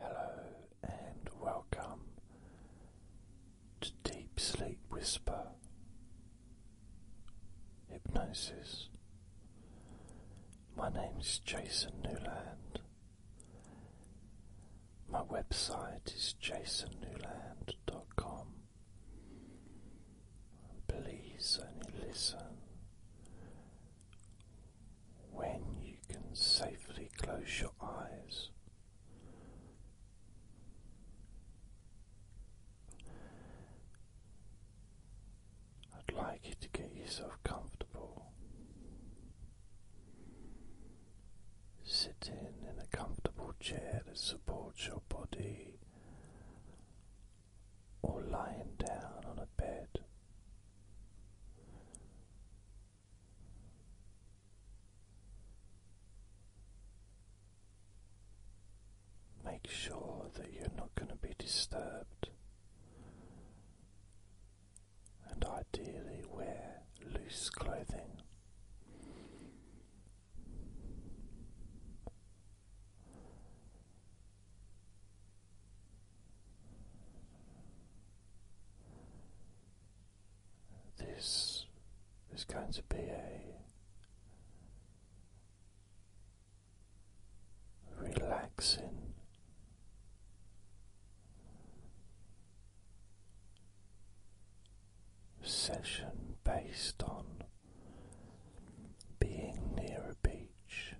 Hello and welcome to Deep Sleep Whisper Hypnosis. My name is Jason Newland. My website is jasonnewland.com. Please only listen when you can safely close your eyes. I'd like you to get yourself comfortable. Sitting in a comfortable chair that supports your body, or lying down on a bed Make sure that you're not going to be disturbed, and ideally, wear loose clothing. This is going to be a relaxing session based on being near a beach.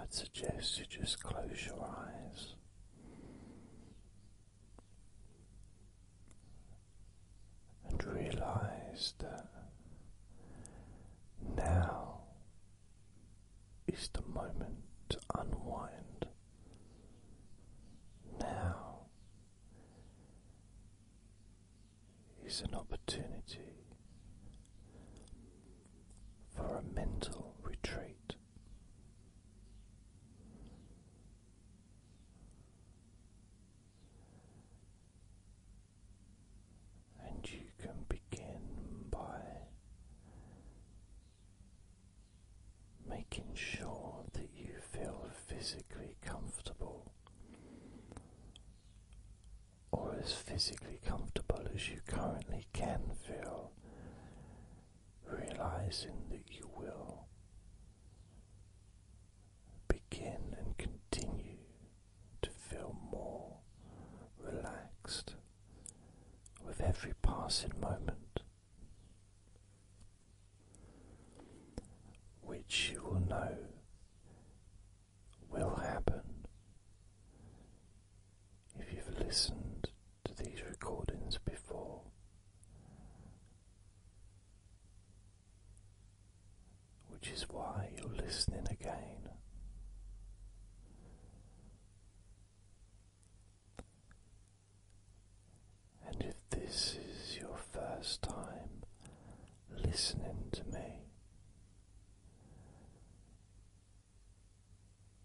I'd suggest you just close your eyes. And realize that now is the moment to unwind. Now is an opportunity for a mental retreat. And you can begin by making sure that you feel physically comfortable or as physically comfortable as you currently can feel, realizing that you will begin and continue to feel more relaxed with every passing moment, which you will know will happen if you've listened to these recordings before. Which is why you're listening again. And if this is your first time listening to me,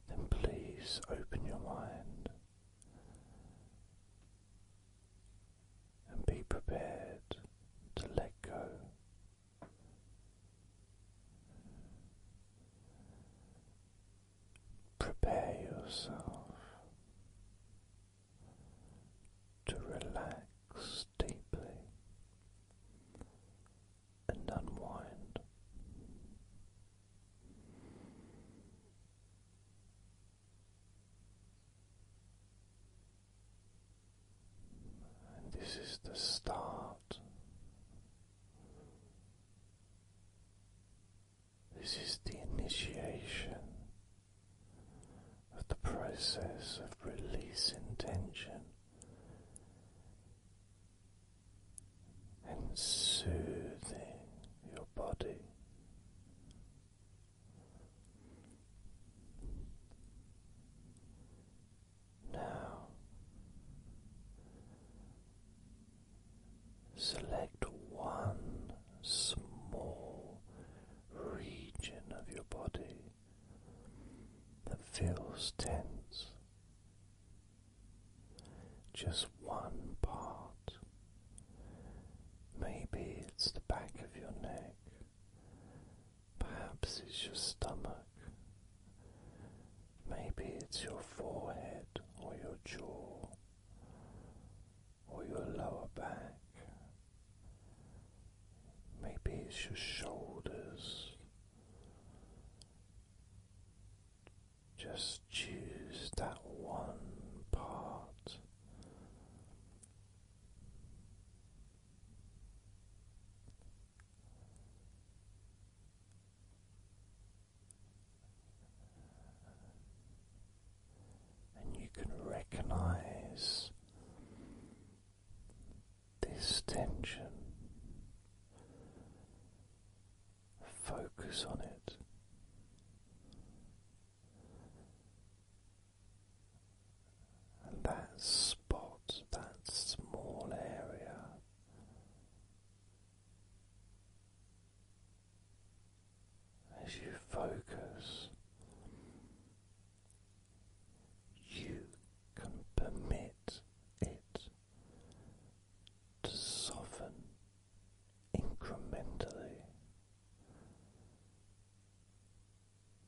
then please open your mind and be prepared to let go Prepare yourself to relax deeply and unwind. And this is the start this is the initiation of the process of releasing tension and soothing your body. Now, select one small region of your body that feels tense, just one part. Maybe it's the back of your neck, perhaps it's your stomach. Maybe it's your forehead or your jaw or your lower back. Maybe it's your shoulders. Just choose that one part and you can recognize this tension. Focus on it. And that spot, that small area, as you focus, you can permit it to soften incrementally.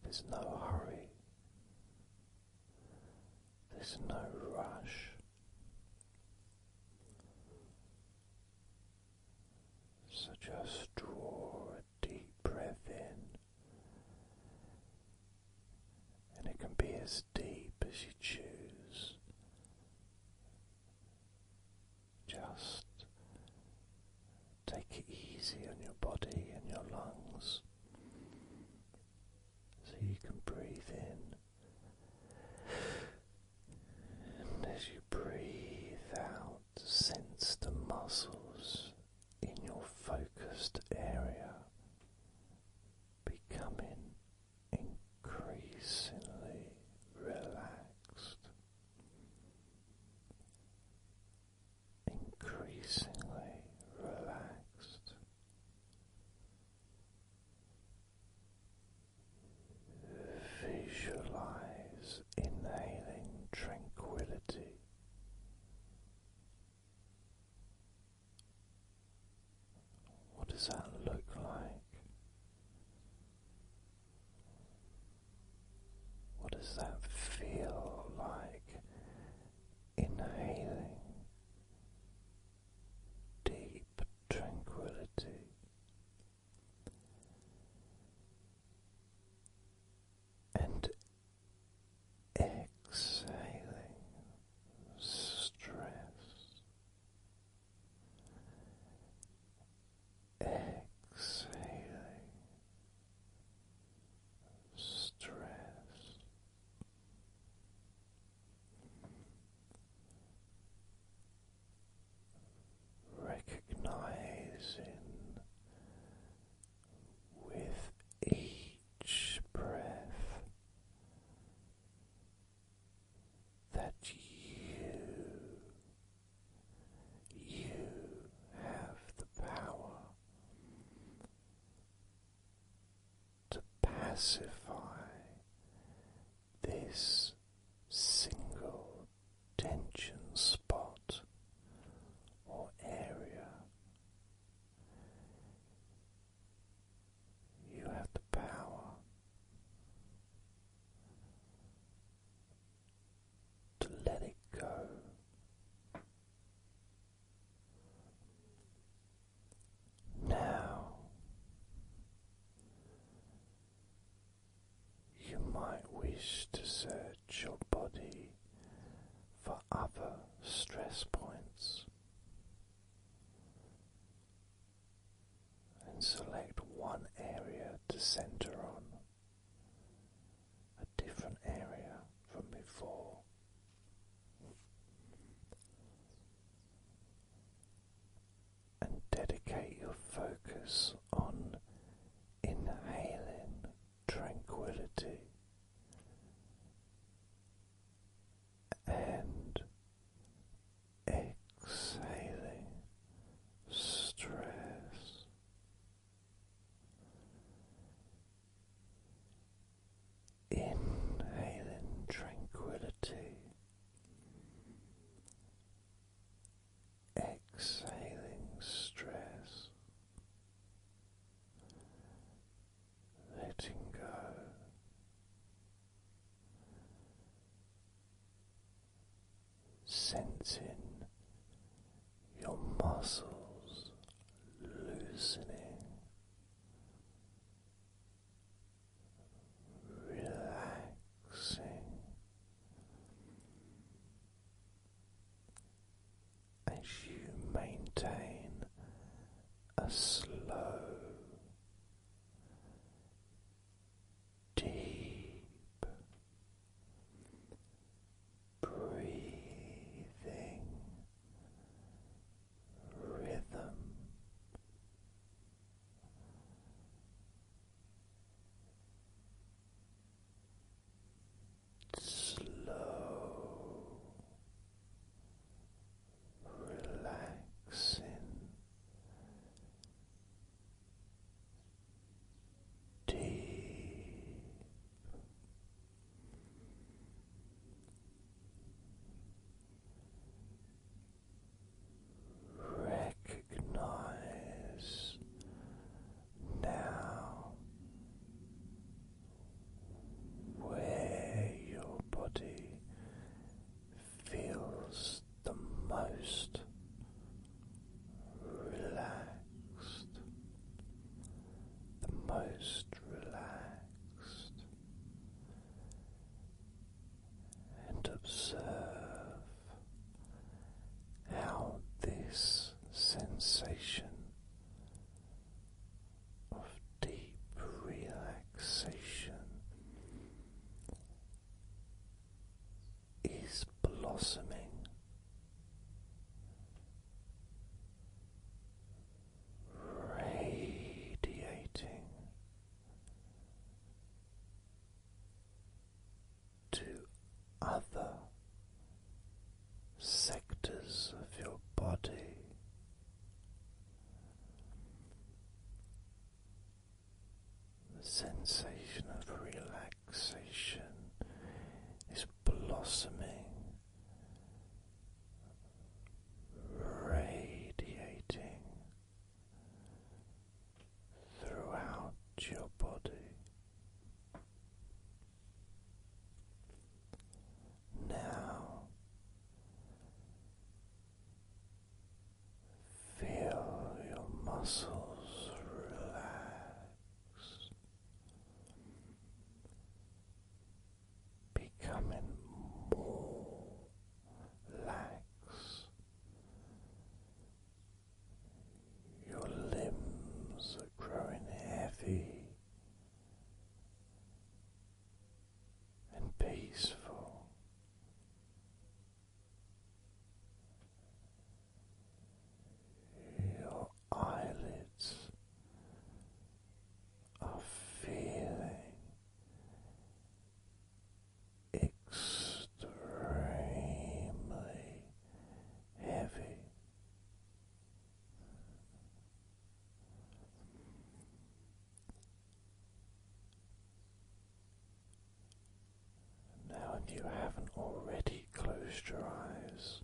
There's no hurry. There's no rush. So just draw a deep breath in, and it can be as deep as you choose. Just take it easy on your body and your lungs so you can breathe in. And as you breathe out, sense the muscles in your focused area becoming increasingly relaxed, increasingly relaxed. Visualize inhaling tranquility. What does that look like? What does that feel like? Inhaling deep tranquility. And exhaling stress, exhaling stress, recognizing with each breath that you you have the power to pacify this single tension spot or area. You have the power to let it go. Now you might wish to search your body for other stress points and select one area to center on, a different area from before and dedicate your focus on inhaling tranquility and exhaling stress. Inhaling tranquility, exhaling stress, letting go. Sensing your muscles loosening relaxing as you maintain a slow, deep breathing rhythm. Slow, relaxing, deep Recognize now where your body feels the most relaxed the most relaxed, and observe how this sensation of deep relaxation. Is blossoming radiating to other sectors of your body. The sensation of relaxation is blossoming radiating throughout your body. Now feel your muscles relax becoming more lax. Your limbs are growing heavy and peaceful. Your eyelids are feeling extremely heavy. Now, if you haven't already closed your eyes,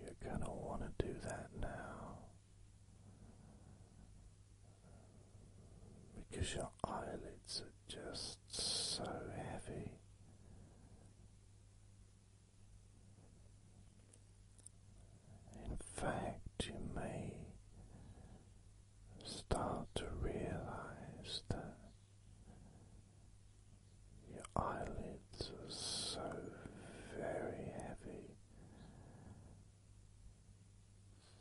you're going to want to do that now because your eyelids are just so heavy. In fact, you may start to realize that your eyelids are so very heavy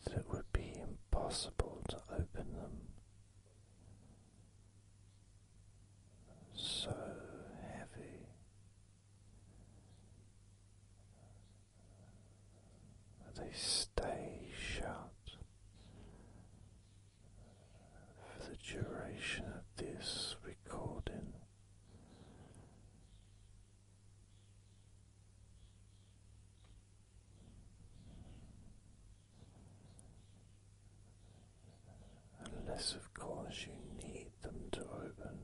that it would be impossible to open them. So heavy that they stay shut for the duration of this recording. Unless, of course, you need them to open.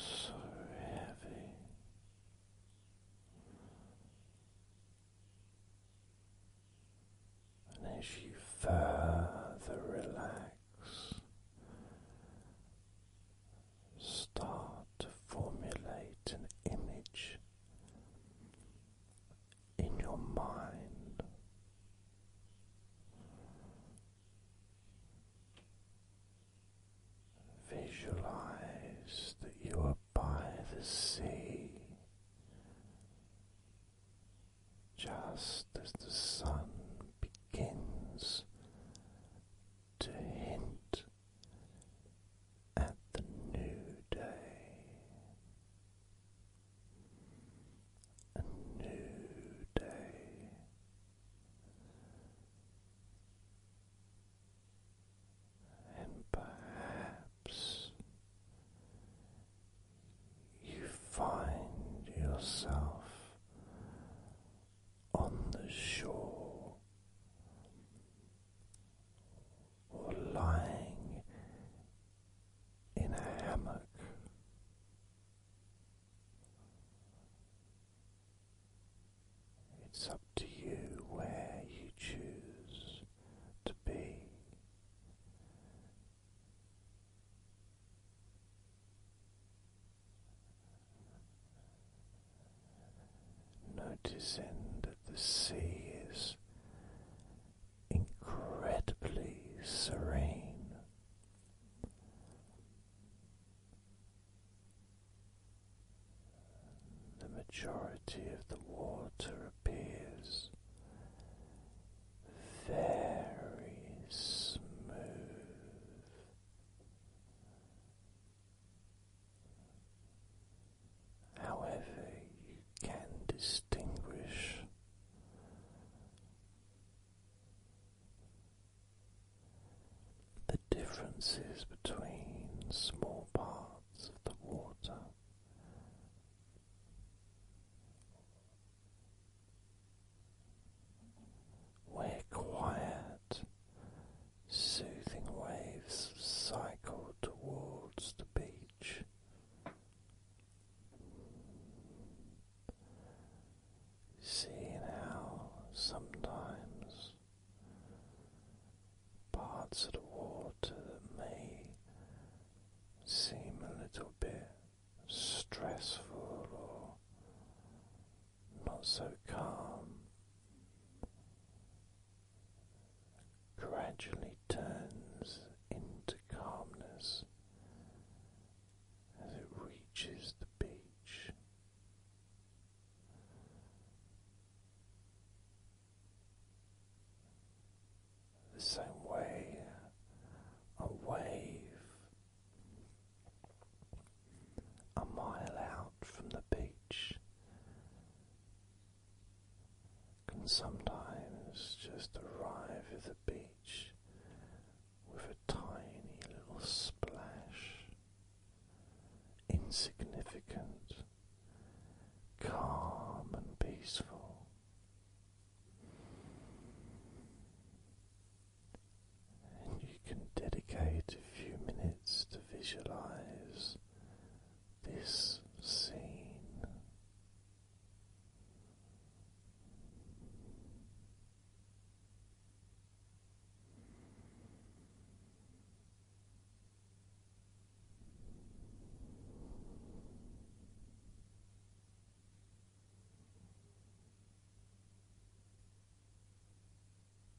So heavy. And as you further relax, start to formulate an image in your mind. Visualize that you are by the sea, just as the sun begins to hint at the new day, a new day. And perhaps you find yourself on the shore or lying in a hammock. It's up to you where you choose to be. Noticing that the sea is incredibly serene. The majority of the water appears very smooth. However, you can distinguish the differences between small parts of the water. Where quiet Soothing waves cycle towards the beach. Seeing how sometimes parts of the water that may seem a little bit stressful or not so calm gradually turns into calmness as it reaches the beach. The same way a wave a mile out from the beach can sometimes just arrive at the beach with a tiny little splash, insignificant, calm and peaceful. And you can dedicate a few minutes to visualize this scene.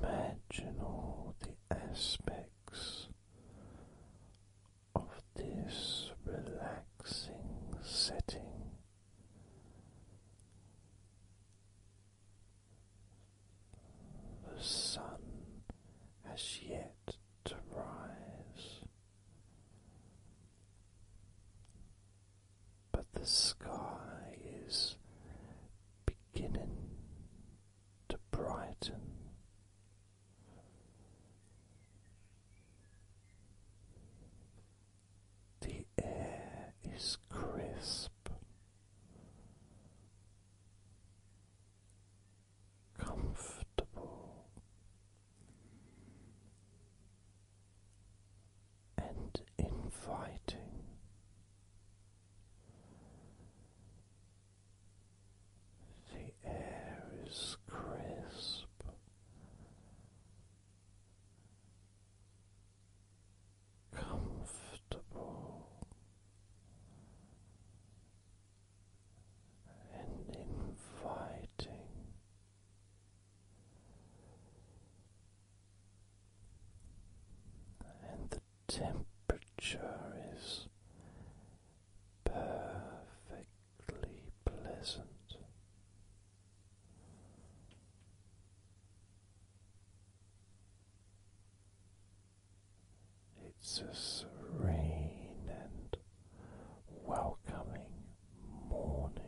Imagine all the aspects of this relaxing setting. The sun has yet to rise, but the sky is beginning to brighten. The air is crisp. Comfortable and inviting, the air is crisp. Comfortable and inviting, and temperature is perfectly pleasant. It's a serene and welcoming morning.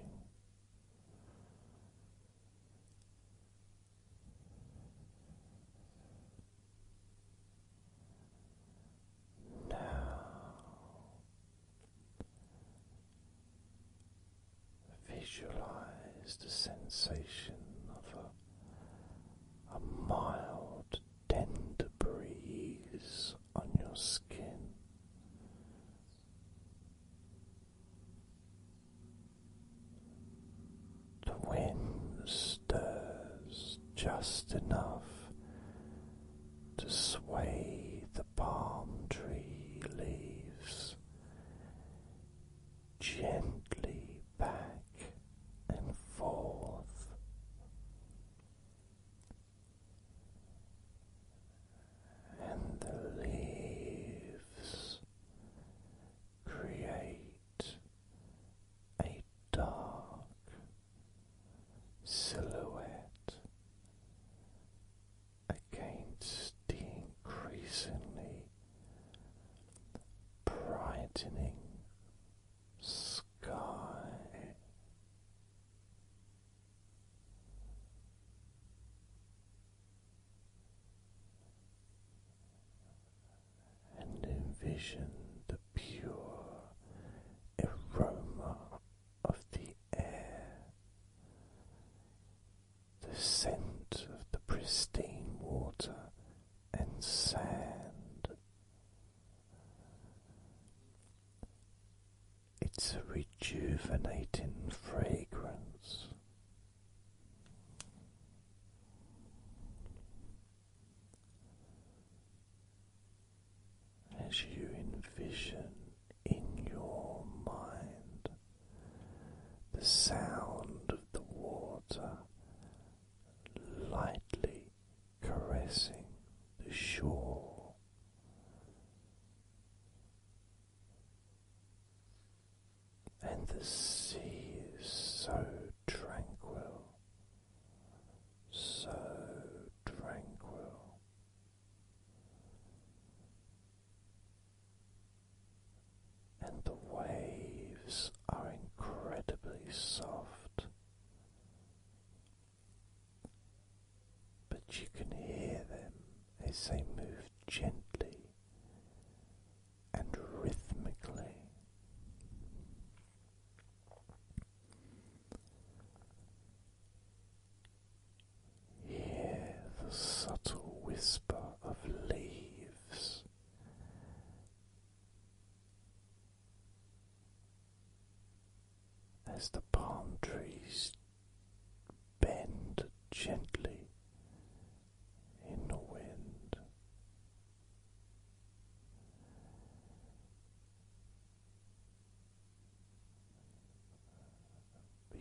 Now visualize the sensation of a, a mild, tender breeze on your skin. The wind stirs just enough to sway the palm tree leaves gently back and forth. And the leaves create a dark silhouette against the increasingly brightening sky and envision the pure aroma of the air, the scent of the pristine water and sand. It's a rejuvenating fragrance as you envision in your mind the sound of the water lightly caressing the shore and the sea is so tranquil, so tranquil. And the waves are incredibly soft, but you can hear them as they move gently and rhythmically. Hear the subtle whisper of leaves. As the palm trees bend gently in the wind,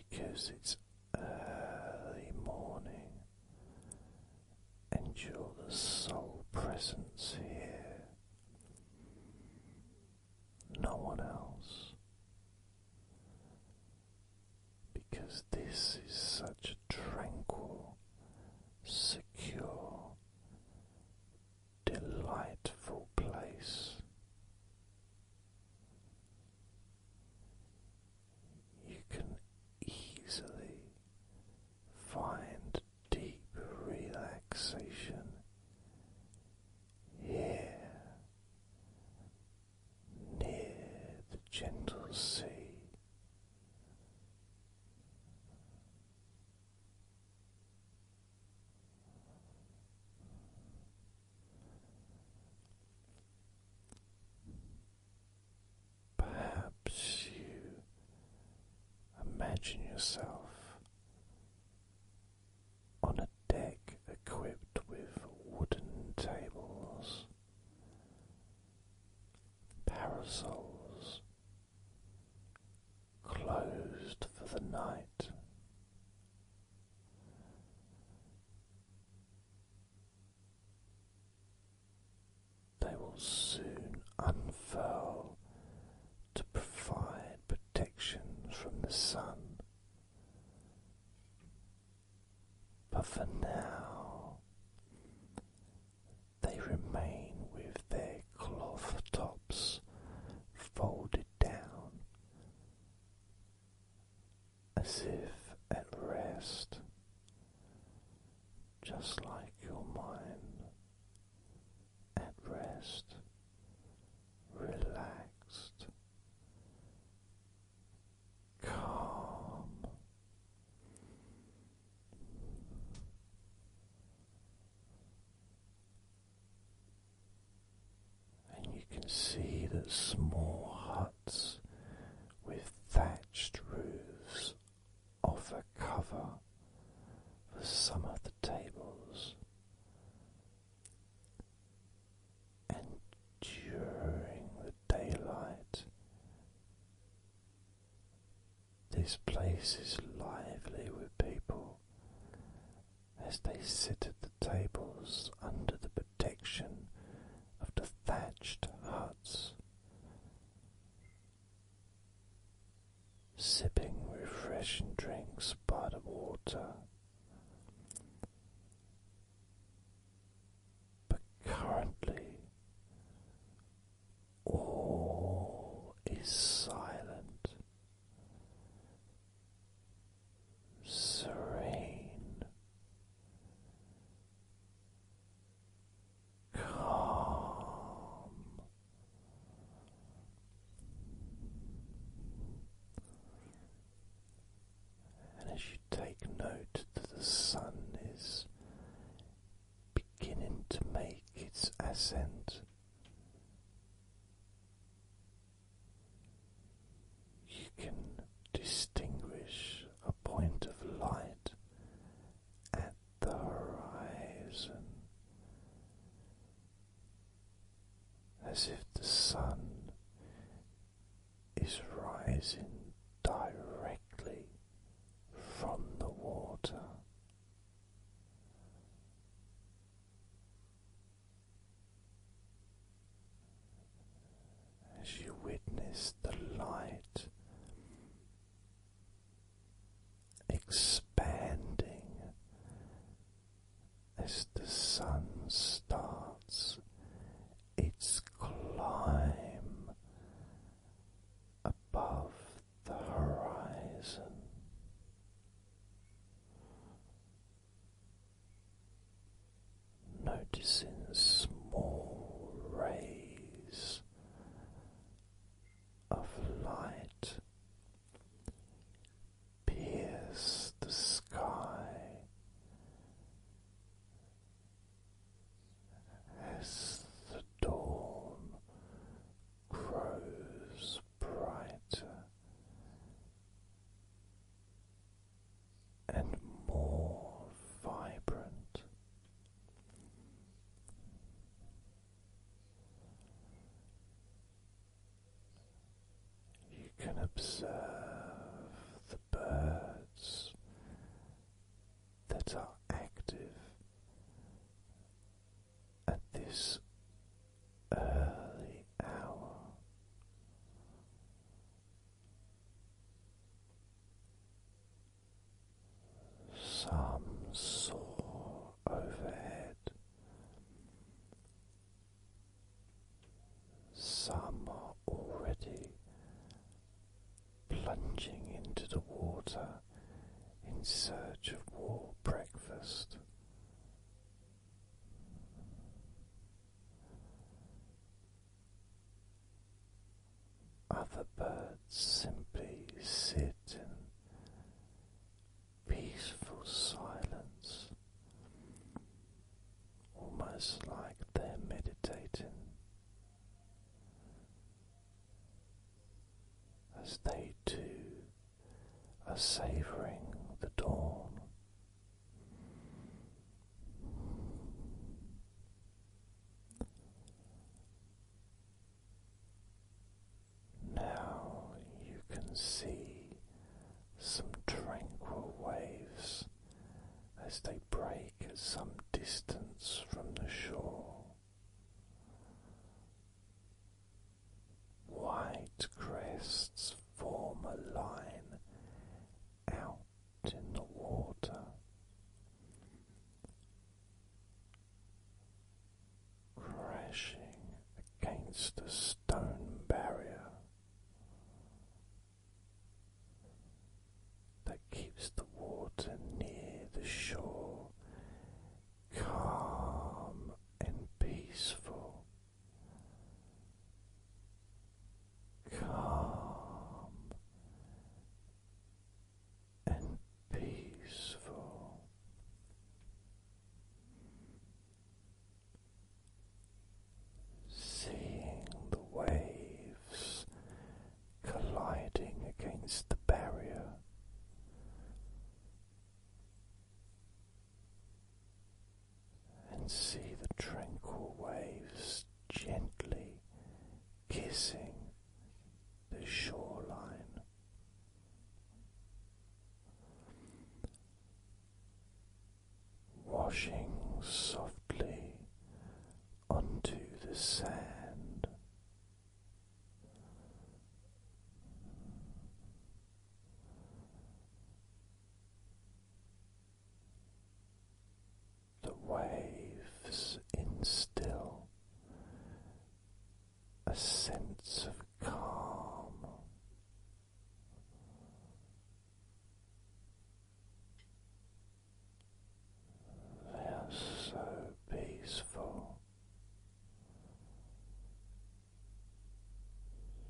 because it's early morning and you're the sole presence here, no one else because this is such a tranquil, secure, delightful place. You can easily find deep relaxation here near the gentle sea. Perhaps you imagine yourself on a deck equipped with wooden tables Parasols closed for the night. They will soon unfurl to provide protection from the sun but for now, they remain with their cloth tops folded down as if at rest, just like your mind at rest, relaxed, calm. And you can see that small huts with thatched roofs offer cover for some of the tables. And during the daylight. This place is lively with people as they sit at the tables under the protection of the thatched huts, sipping refreshing drinks by the water. But currently, all is silent, serene, calm and as you take note that the sun is beginning to make its ascent, you can distinguish a point of light at the horizon. As if the sun is rising directly from the water. As you witness the light expanding as the sun starts its climb above the horizon. Noticing small rays of light pierce the sky as the dawn grows brighter and more vibrant. You can observe birds that are active at this early hour. Some soar overhead, some are already plunging into the water in search of war breakfast. Other birds simply sit in peaceful silence almost like they're meditating as they too are savoring the dawn. Now you can see some tranquil waves as they break at some distance from the shore. White crests form a line out in the water. Crashing against a stone barrier, that keeps the water near the shore calm and peaceful. Calm and peaceful seeing the waves colliding against the barrier. And see the tranquil waves gently kissing the shoreline washing softly onto the sand. The waves instill a sense of calm. They are so peaceful,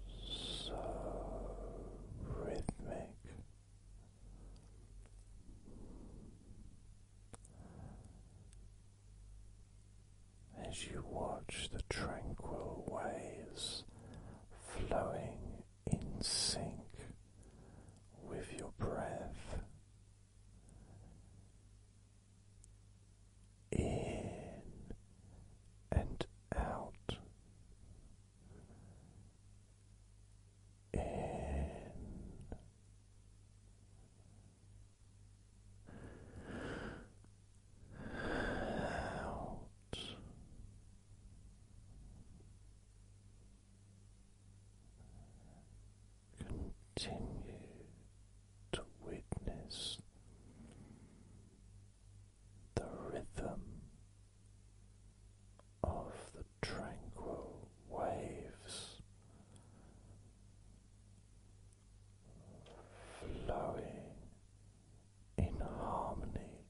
so rhythmic. As you watch the tranquil waves flowing in sync with your breath. In and out, in out. Continue to witness the rhythm of the tranquil waves flowing in harmony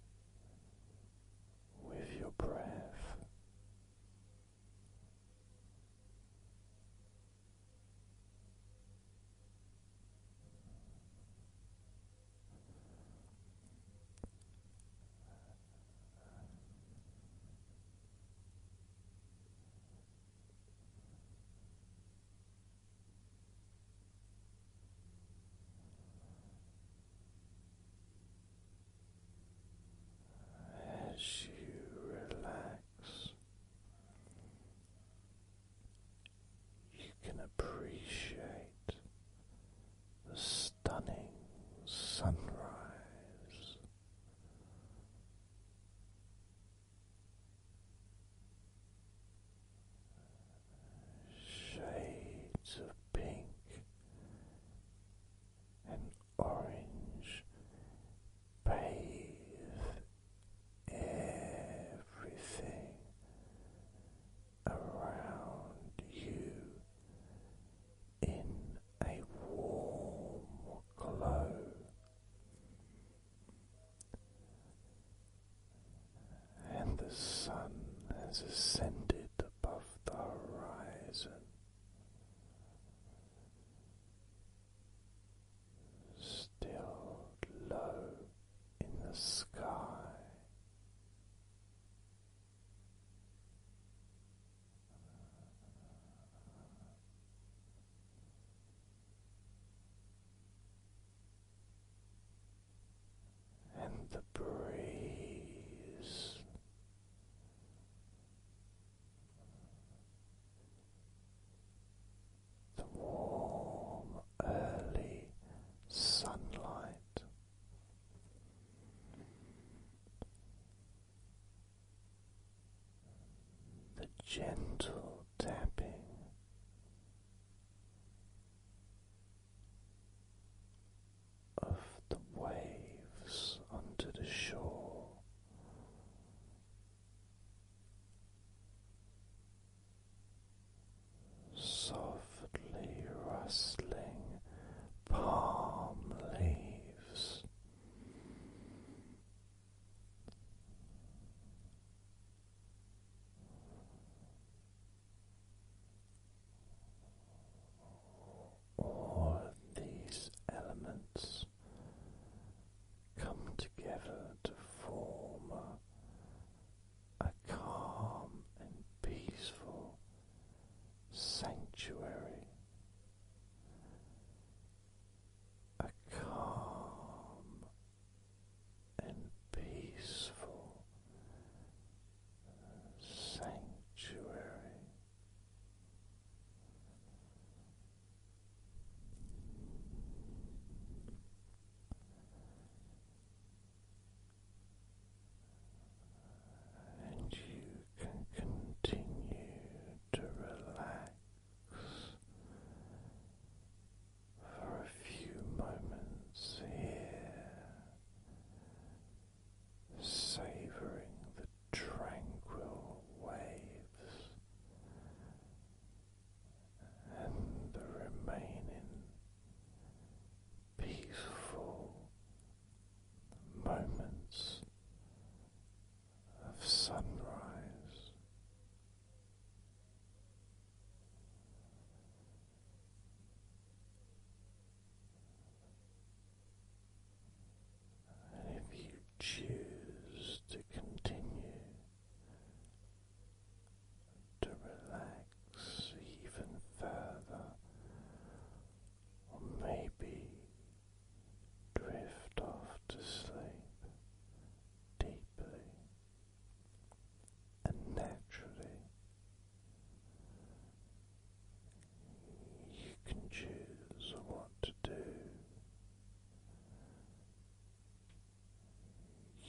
with your breath as you relax, you can appreciate the stunning sunrise shades of pink and orange bathe everything around you in a warm glow and the sun has ascended above the horizon. Still low in the sky, and the breeze. The warm early sunlight, the gentle tapping of the waves onto the shore. Softly rustling palm leaves, all these elements come together to form a, a calm and peaceful sanctuary, a calm and peaceful sanctuary. And you can continue to relax for a few moments here, savoring the tranquil waves and the remaining peaceful moments of sunrise if you choose to continue to relax even further, or maybe drift off to sleep deeply and naturally you can choose what to do.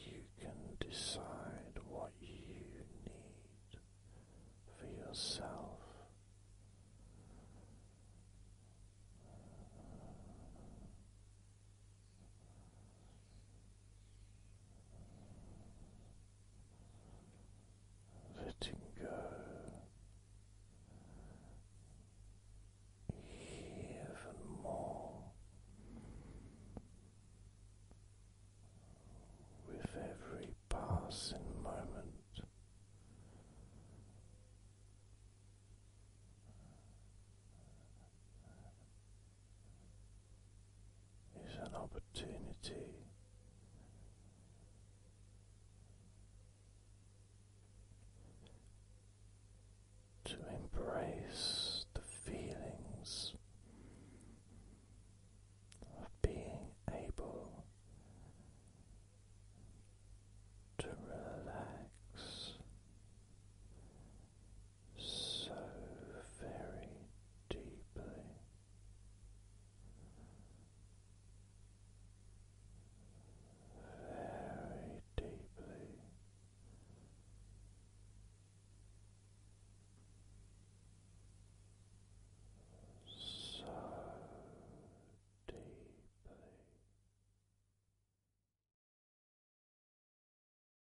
You can decide what you need for yourself letting go. Even more with every passing moment, it's an opportunity to embrace the feelings of being able to relax so very deeply. Very deeply. So deeply.